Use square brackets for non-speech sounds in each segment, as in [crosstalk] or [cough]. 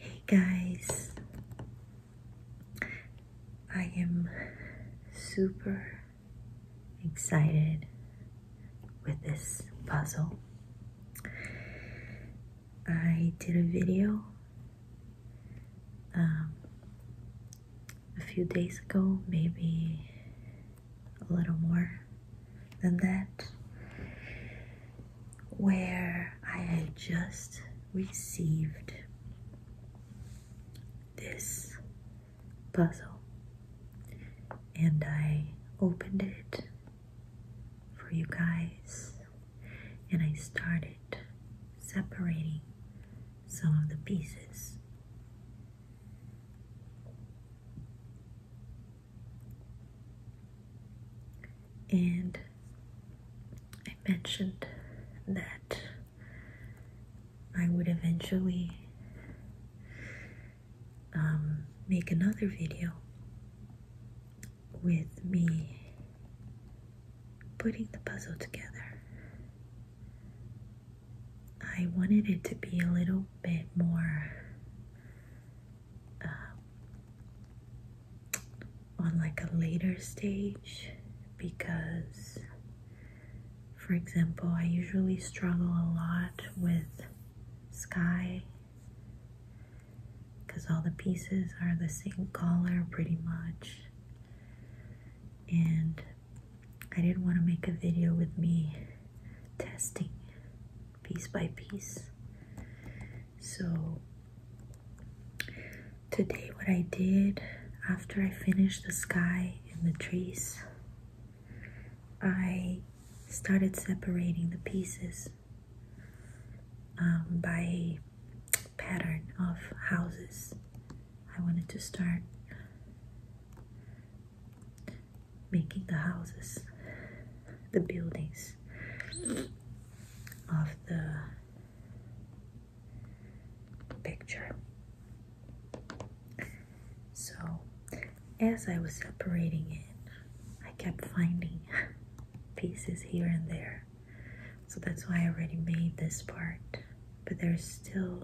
Hey guys, I am super excited with this puzzle. I did a video um, a few days ago, maybe a little more than that, where I had just received this puzzle and I opened it for you guys and I started separating some of the pieces. And I mentioned that I would eventually um, make another video with me putting the puzzle together. I wanted it to be a little bit more uh, on like a later stage because, for example, I usually struggle a lot with sky because all the pieces are the same color pretty much and I didn't want to make a video with me testing piece by piece so today what I did after I finished the sky and the trees I started separating the pieces um, by pattern of houses. I wanted to start making the houses, the buildings of the picture. So, as I was separating it, I kept finding [laughs] pieces here and there. So that's why I already made this part. But there's still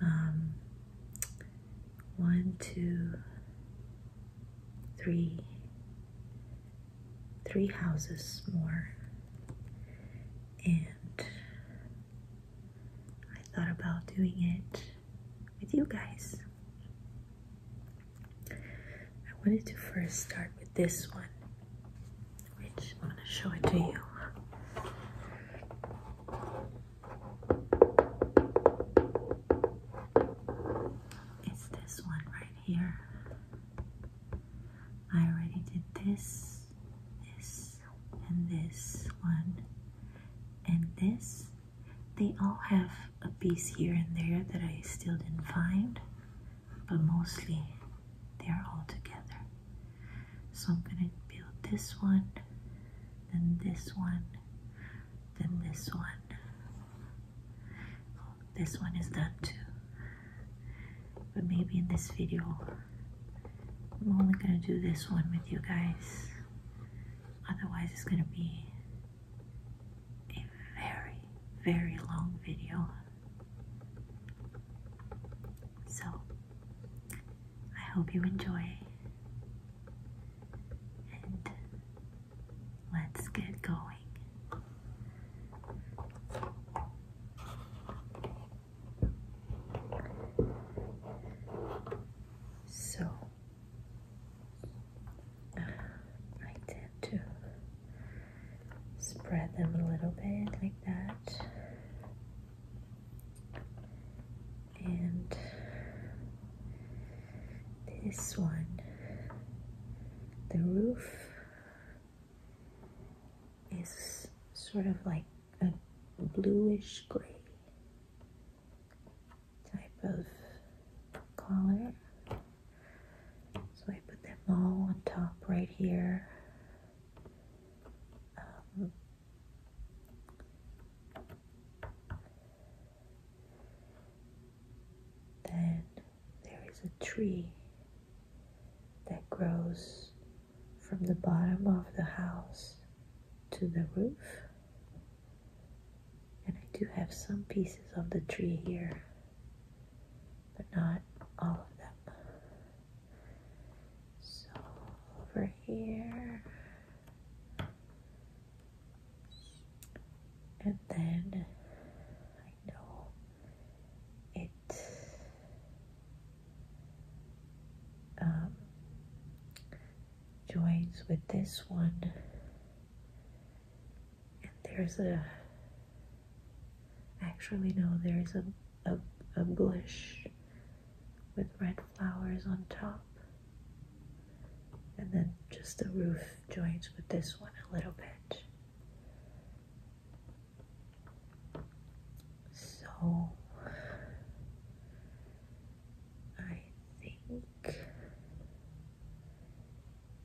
um, one, two, three, three houses more. And I thought about doing it with you guys. I wanted to first start with this one, which I'm going to show it to you. It's this one right here. I already did this, this, and this one and this. They all have a piece here and there that I still didn't find, but mostly they're all together. So I'm gonna build this one, then this one, then this one. this one is done too. But maybe in this video, I'm only gonna do this one with you guys. Otherwise, it's going to be a very, very long video. So, I hope you enjoy, and let's get going. So I tend to spread them a little bit like that and this one the roof is sort of like a bluish gray type of color. So I put them all on top right here. Um, then there is a tree that grows from the bottom of the house to the roof and I do have some pieces of the tree here but not all of them so over here and then I know it um, joins with this one and there's a actually no there's a, a, a bush with red flowers on top and then just the roof joins with this one a little bit so I think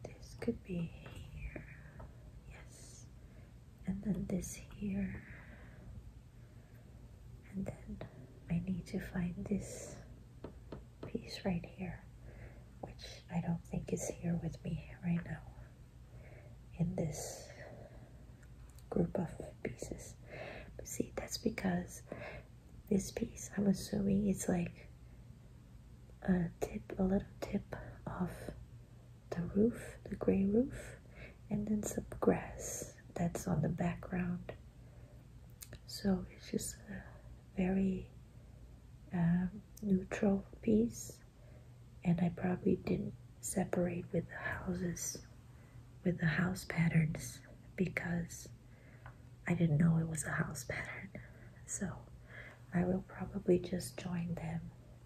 this could be here. Yes. And then this here. And then I need to find this piece right here, which I don't think is here with me right now in this group of pieces. see, that's because this piece, I'm assuming, it's like a tip, a little tip of the roof, the gray roof, and then some grass that's on the background. So it's just a very uh, neutral piece, and I probably didn't separate with the houses with the house patterns because I didn't know it was a house pattern so I will probably just join them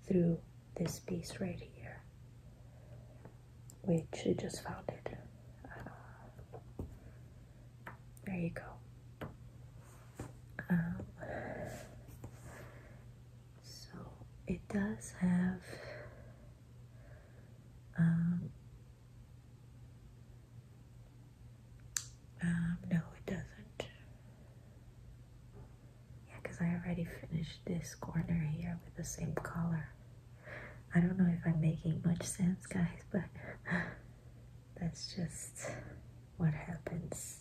through this piece right here which I just found it uh, there you go um, it does have um, um, no, it doesn't. Yeah, because I already finished this corner here with the same color. I don't know if I'm making much sense, guys, [laughs] but that's just what happens.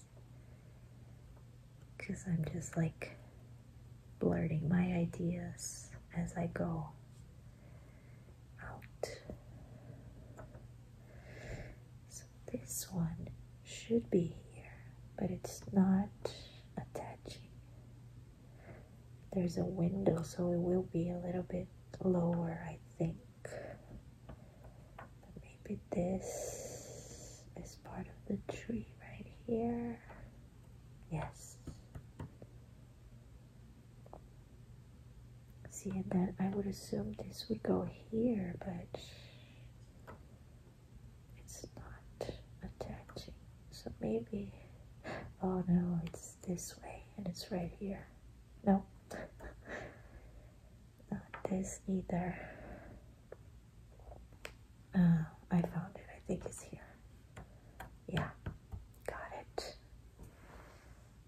Because I'm just like Blurring my ideas as I go out. So this one should be here, but it's not attaching. There's a window, so it will be a little bit lower, I think. maybe this is part of the tree right here. Yes. See, and then I would assume this would go here, but it's not attaching. So maybe, oh no, it's this way and it's right here. No, [laughs] not this either. Uh, I found it. I think it's here. Yeah. Got it.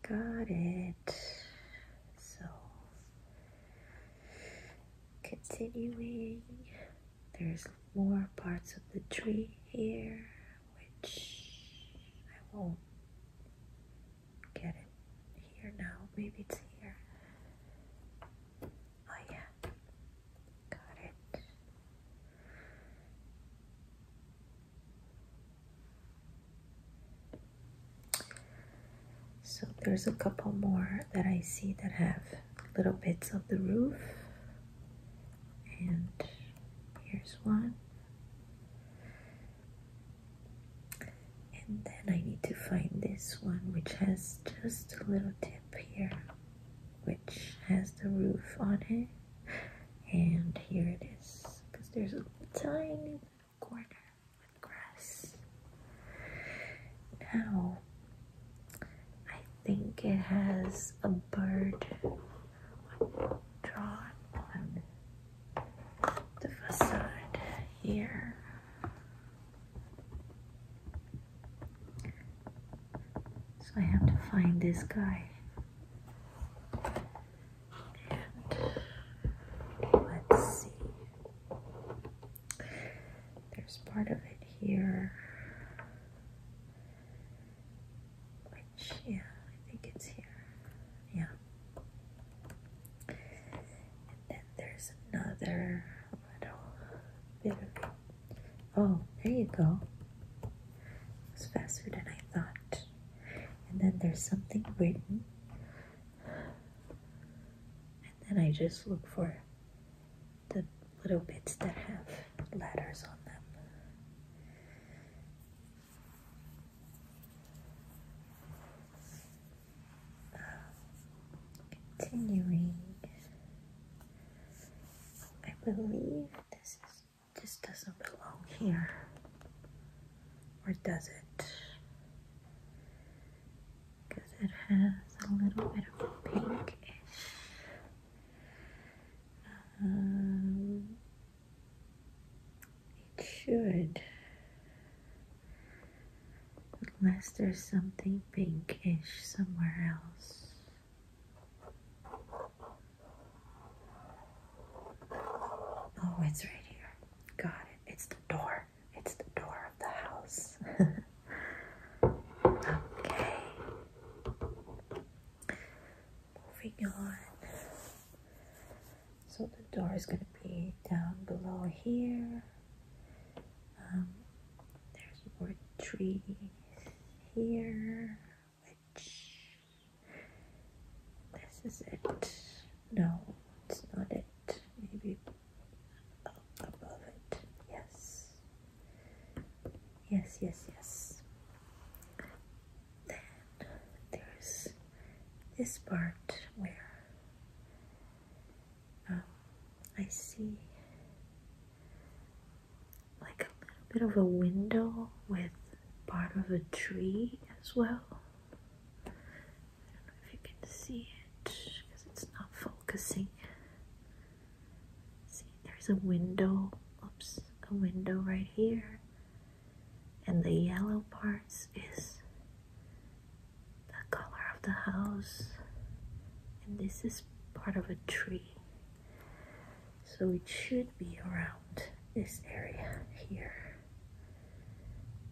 Got it. So, continuing, there's more parts of the tree here, which I won't get it here now. Maybe it's here. Oh yeah. Got it. So there's a couple more that I see that have little bits of the roof. And here's one. And then I need to find this one which has just a little tip here which has the roof on it. And here it is because there's a tiny corner with grass. Now, I think it has a bird drawn on the facade here. So I have to find this guy. And let's see. There's part of it here. Which, yeah, I think it's here. Yeah. And then there's another little bit Oh, there you go. It's faster than I thought. And then there's something written. And then I just look for the little bits that have letters on them. Uh, continuing. I believe this just doesn't belong here. Or does it? Because it has a little bit of pinkish. Um, it should. Unless there's something pinkish somewhere else. Oh, it's right here. Got it. It's the door. It's the door of the house. [laughs] okay. Moving on. So the door is going to be down below here. Um, there's more trees here, which this is it. No, it's not it. Maybe above it. Yes. Yes, yes, yes. Then there's this part where um, I see like a little bit of a window with part of a tree as well. I don't know if you can see it because it's not focusing. See, there's a window. Oops, a window right here. And the yellow parts is the color of the house. And this is part of a tree. So it should be around this area here.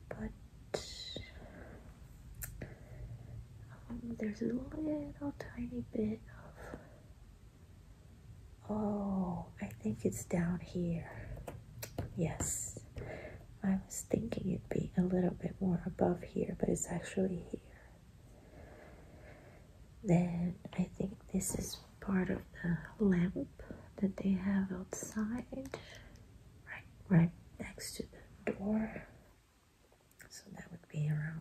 But um, there's a little tiny bit of. Oh, I think it's down here. Yes. I was thinking it'd be a little bit more above here, but it's actually here. Then I think this is part of the lamp that they have outside, right, right next to the door. So that would be around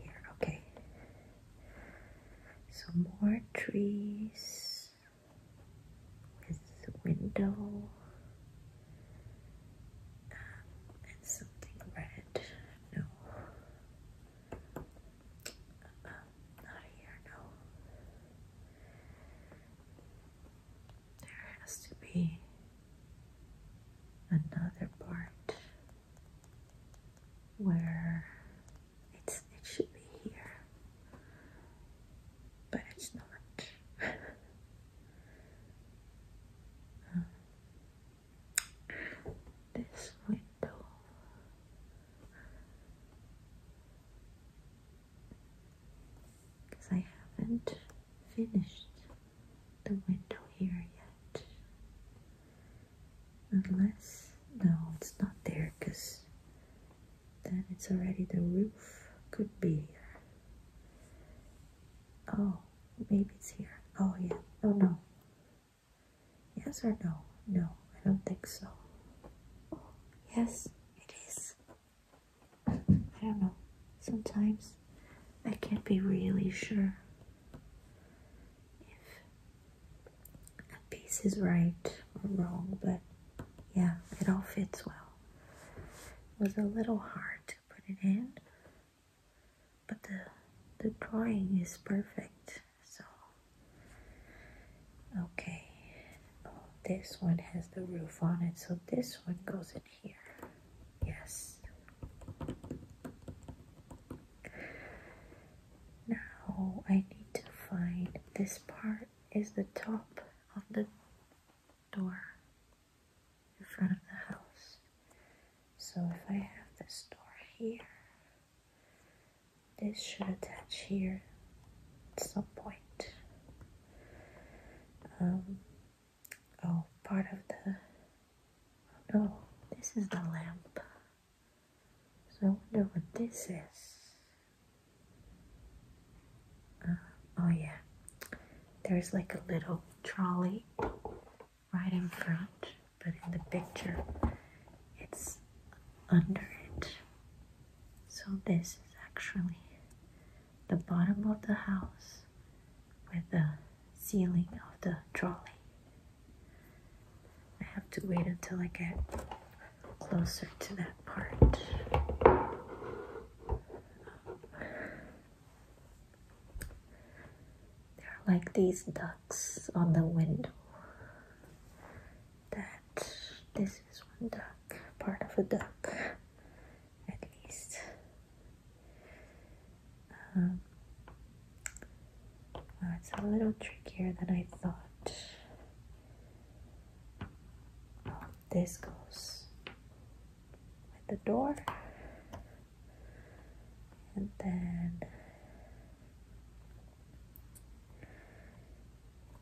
here. Okay. Some more trees with window and something red. No. Uh, not here, no. There has to be another part where it's it should be here, but it's not. [laughs] Um, this window. Because I haven't finished the window here yet. Unless, no, it's not there because then it's already the roof. Could be here. Oh, maybe it's here. Oh, yeah. Oh, no. Yes or no? No, I don't think so. yes, it is. I don't know. Sometimes I can't be really sure if a piece is right or wrong, but yeah, it all fits well. It was a little hard to put it in, but the the drawing is perfect so okay oh, this one has the roof on it so this one goes in here yes now I need to find this part is the top of the door in front of the house. So if I have this door here, this should attach here at some point. Um, oh, part of the, oh this is the lamp. So I wonder what this is. Uh, oh yeah, there's like a little trolley right in front, but in the picture it's under it. So this is actually the bottom of the house with the ceiling of the trolley. I have to wait until I get closer to that part. They're like these ducks on the window. That this is one duck, part of a duck, at least. Um, oh, it's a little trickier than I thought. Oh, this goes with the door and then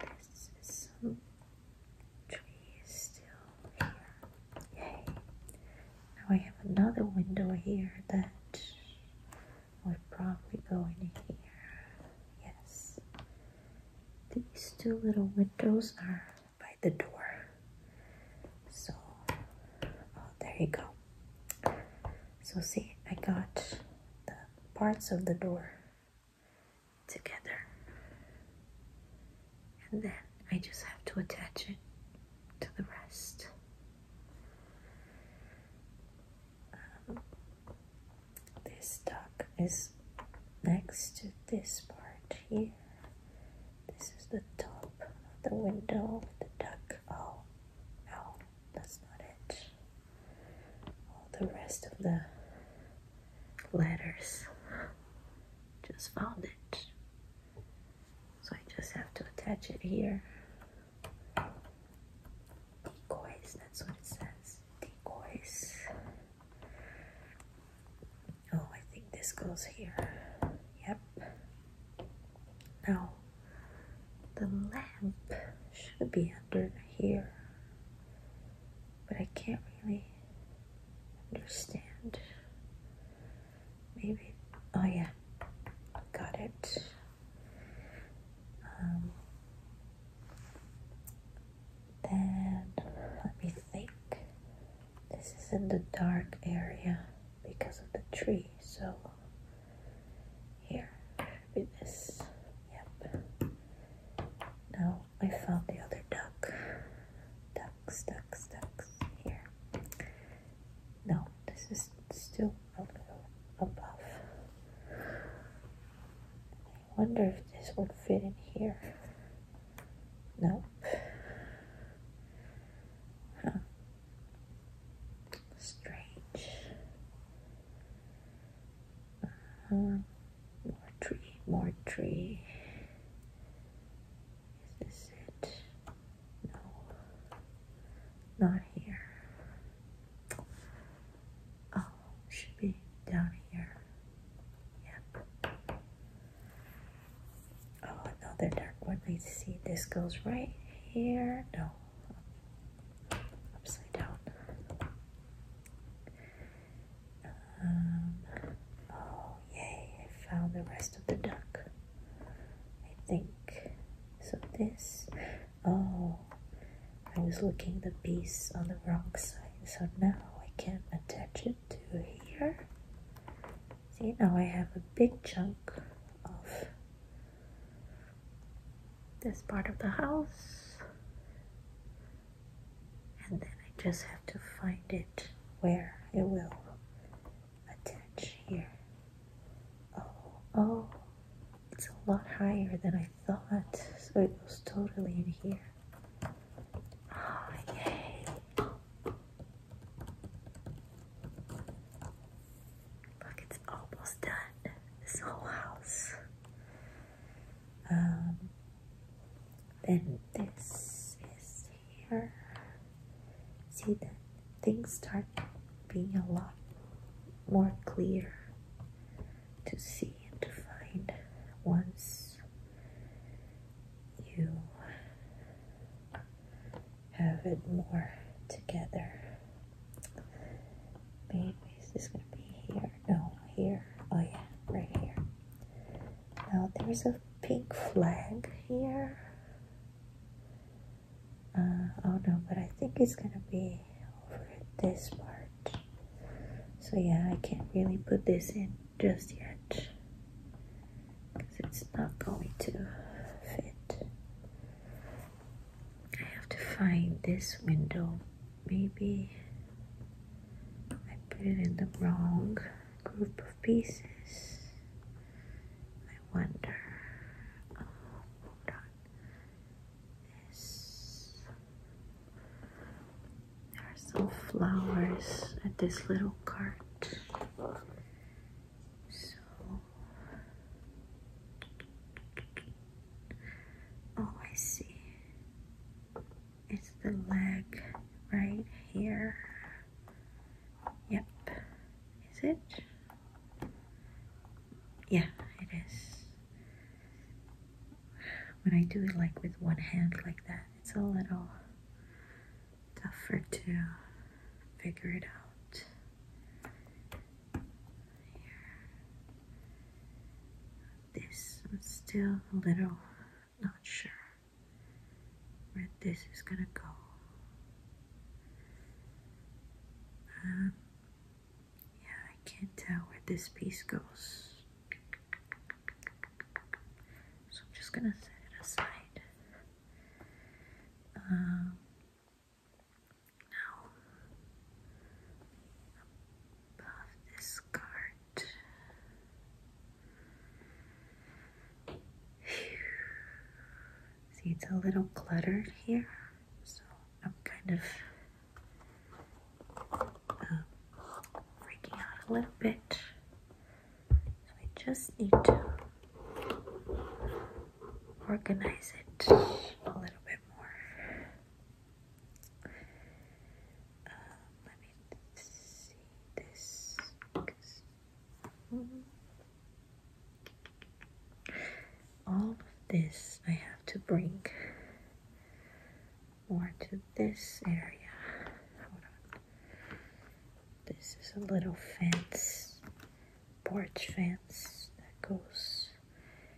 this is some trees still here. Yay! Now I have another window here that would probably go in here. Yes. These two little windows are by the door. So, oh, there you go. So, see, I got the parts of the door together, and then I just have to attach it to the rest. Um, this duck is next to this part here this is the top of the window the duck oh no that's not it all the rest of the letters just found it so I just have to attach it here decoys that's what it says decoys Oh, I think this goes here. Yep. Now, the lamp should be under here, but I can't really understand. Maybe. Oh, yeah. Got it. Um, then let me think this is in the dark area because of the tree so here with this yep now I found the other duck Duck, ducks ducks here no this is still a little above I wonder if this would fit in here Nope. Huh. Strange. Uh -huh. More tree, more tree. Is this it? No. Not here. Oh, should be down here. Yep. Oh, another dark one. I see this goes right here. No, upside down. Um, oh, yay, I found the rest of the duck. I think. So this, oh, I was looking the piece on the wrong side, so now I can't attach it to here see now I have a big chunk of this part of the house and then I just have to find it where it will attach here oh oh it's a lot higher than I thought so it goes totally in here Oh, yay. Look, it's almost done. This whole house. Um, then this is here. See that things start being a lot more clear to see and to find once you have it more together. Maybe is gonna be here? No, here. Oh yeah, right here. Now there's a pink flag here. Uh, oh no, but I think it's gonna be over this part. So yeah, I can't really put this in just yet because it's not going to fit. I have to find this window. Maybe I put it in the wrong group of pieces. I wonder. Oh, hold on. This. There are some flowers at this little cart. So Oh, I see. It's the leg right here. Yep. Is it? Yeah, it is when I do it like with one hand like that, it's a little tougher to figure it out. This, I'm still a little not sure where this is gonna go. Um, yeah, I can't tell where this piece goes. So I'm just gonna set it aside. Um, now, above this card, see it's a little cluttered here, so I'm kind of freaking out a little bit. So I just need to organize it a little bit more. Um, let me see this. All of this I have to bring more to this area. Hold on. This is a little fence, porch fence that goes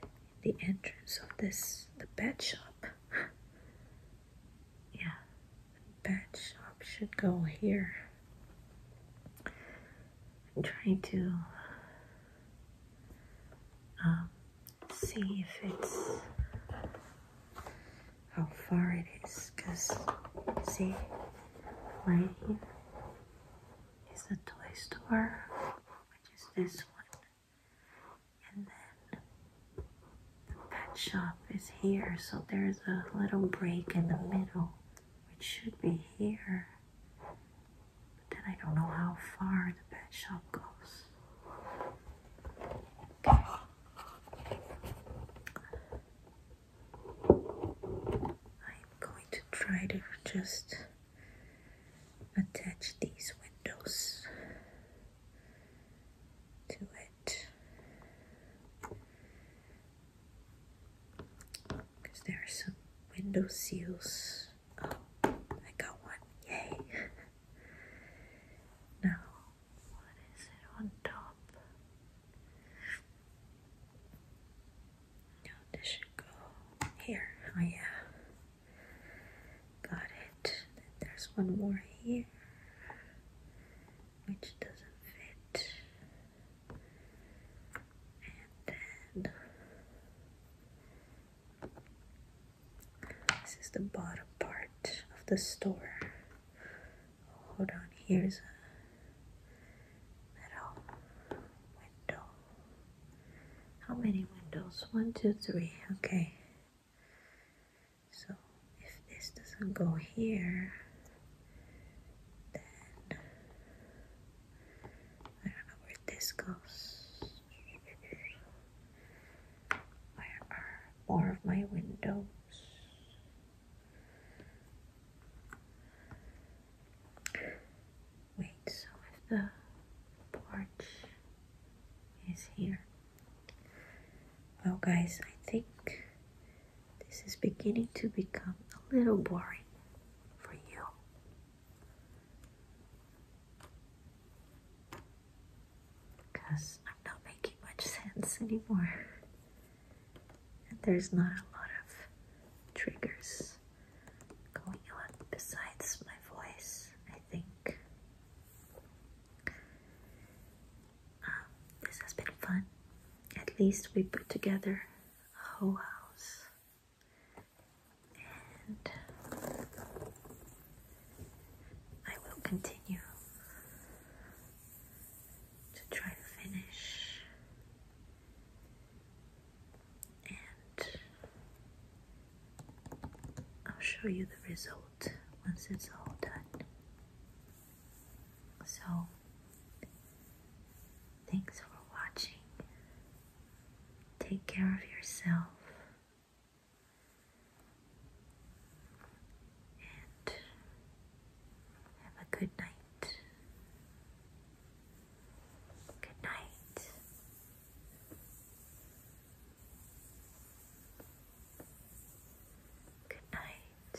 in the entrance of this the bed shop. [laughs] yeah, the shop should go here. I'm trying to um, see if it's how far it is because see right here is the toy store which is this one and then the pet shop is here so there's a little break in the middle which should be here but then I don't know how far the pet shop goes I'm going to try to just attach these windows to it because there are some window seals. Oh, I got one. Yay. [laughs] Now, what is it on top? Now this should go here. Oh yeah, got it. Then there's one more here, which doesn't fit, and then this is the bottom part of the store. hold on, here's a metal window. How many windows? One, two, three. Okay. So if this doesn't go here, then I don't know where this goes. Where are more of my windows? Wait, so if the porch is here. oh guys, I think this is beginning to become a little boring for you because I'm not making much sense anymore. And there's not a lot of triggers going on besides my voice, I think. Um, this has been fun. At least we put together a whole house. I will continue to try to finish and I'll show you the result once it's all done. So, thanks for watching. Take care of yourself and have a good night. Good night. Good night.